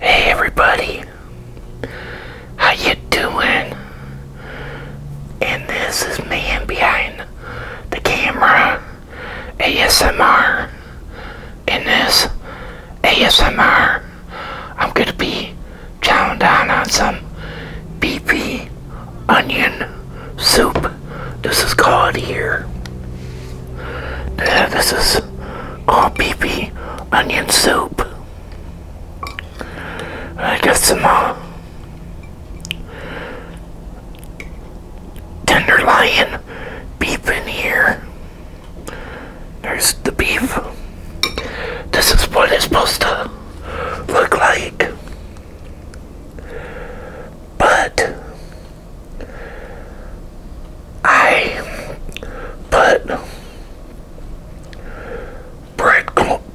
Hey everybody, how you doing? And this is man behind the camera, ASMR. In this ASMR, I'm gonna be chowing down on some beefy onion soup. This is called here. Uh, this is called beefy onion soup. I got some uh, tenderloin beef in here. There's the beef. This is what it's supposed to look like. But I put bread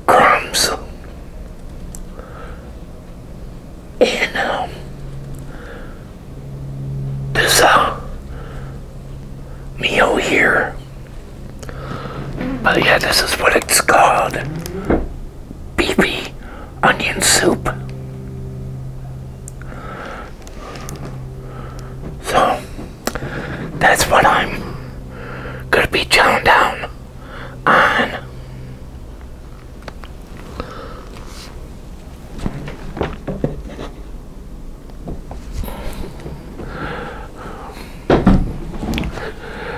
crumbs in um, this uh, meal here. But yeah, this is what it's called. BB onion soup. So, that's what I'm gonna be chowing down on.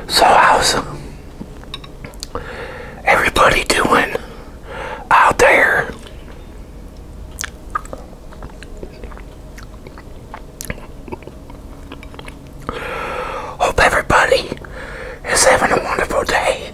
So awesome! everybody doing? out there. Hope everybody is having a wonderful day.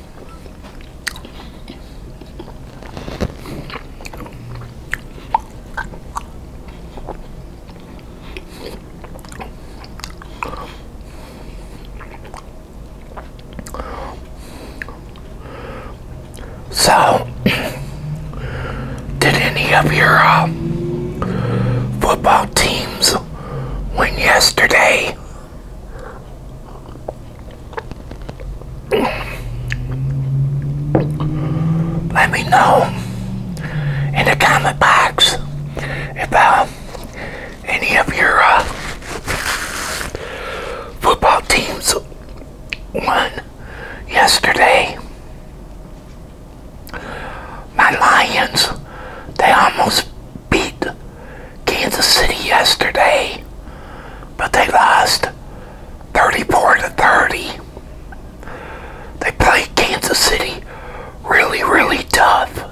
So, did any of your uh, football teams win yesterday? Let me know in the comment box about uh, any of your uh, football teams won yesterday. My Lions, they almost beat Kansas City yesterday, but they lost 34 to 30. They played Kansas City really, really tough.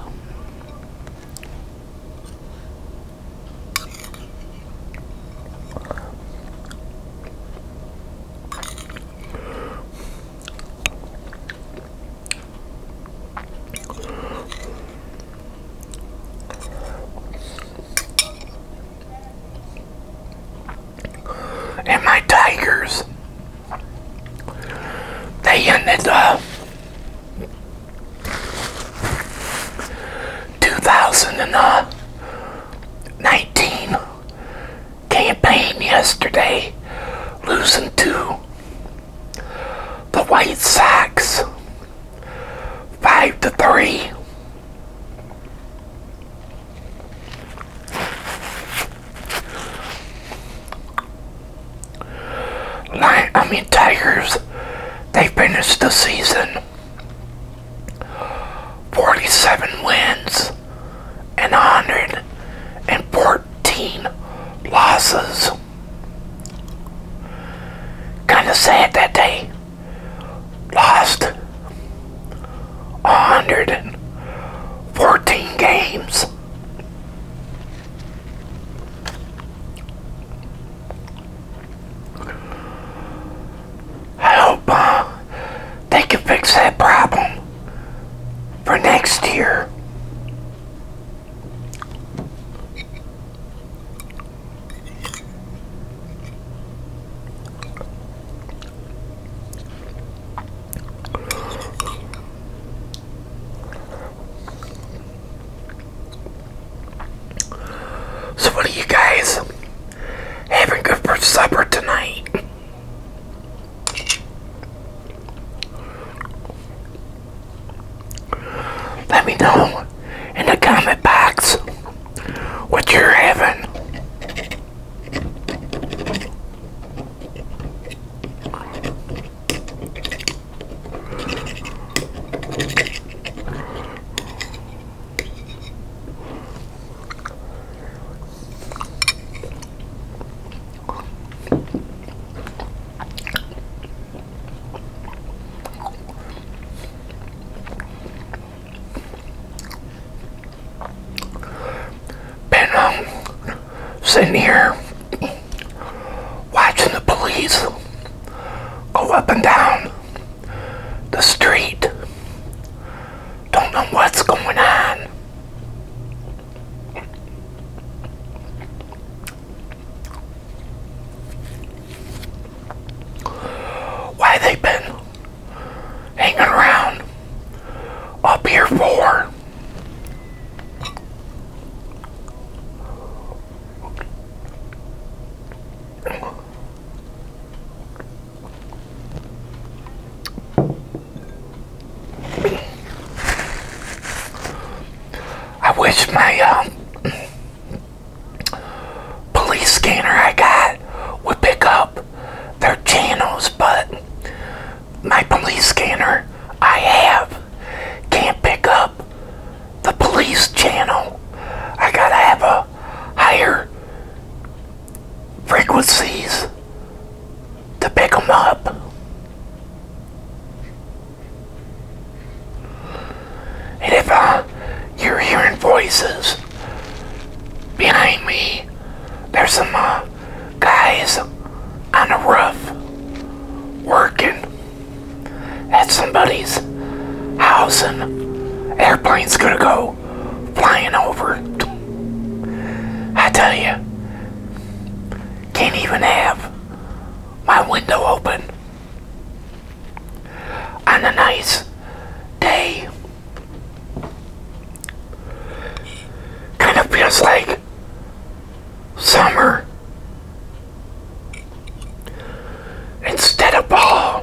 And my Tigers, they ended up. 2019 campaign yesterday, losing two. The White Sox, five to three. I mean Tigers, they finished the season 47 wins and 114 losses. Kind of sad that they lost 114 games. I hope uh, they can fix that problem for next year. So, what are you guys having for supper tonight? Let me know in the comment box what you're having. Been um, sitting here watching the police go up and down the street. Don't know what's going on. Why they been hanging around up here for? I wish my um, police scanner I got would pick up their channels, but my police scanner I have can't pick up the police channel. I gotta have a higher frequencies to pick them up. And if uh, you're hearing voices behind me, there's some uh, guys on the roof working at somebody's house and airplane's gonna go flying over. I tell you, can't even have my window open on a nice day. Kind of feels like summer instead of fall.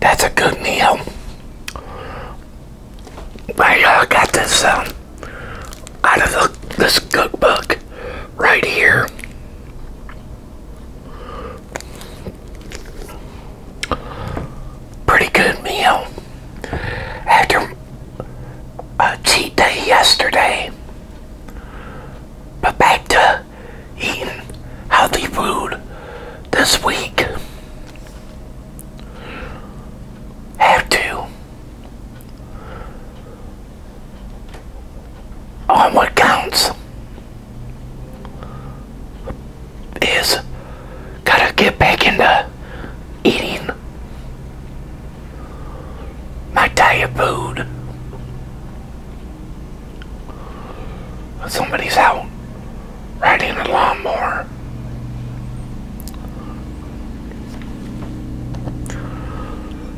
That's a good meal. I got this um, out of this cookbook right here. Pretty good meal. After a cheat day yesterday. But back to eating healthy food this week. Have to. On what counts is gotta get back into eating my diet food. Somebody's out riding a lawnmower.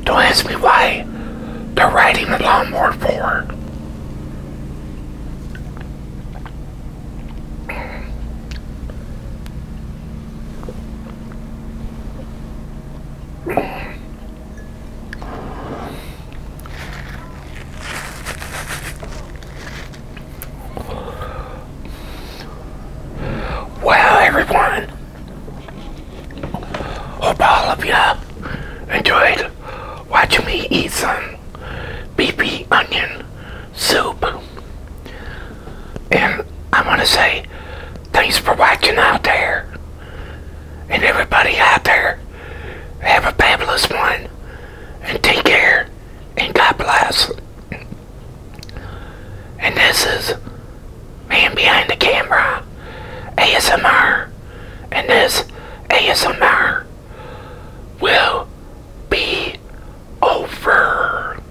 Don't ask me why they're riding a lawnmower for. Well, everyone, hope all of you enjoyed watching me eat some BP onion soup. And I want to say Thanks for watching out there. And everybody out there, have a fabulous one. And take care. And God bless. And this is Man Behind the Camera, ASMR. And this ASMR will be over.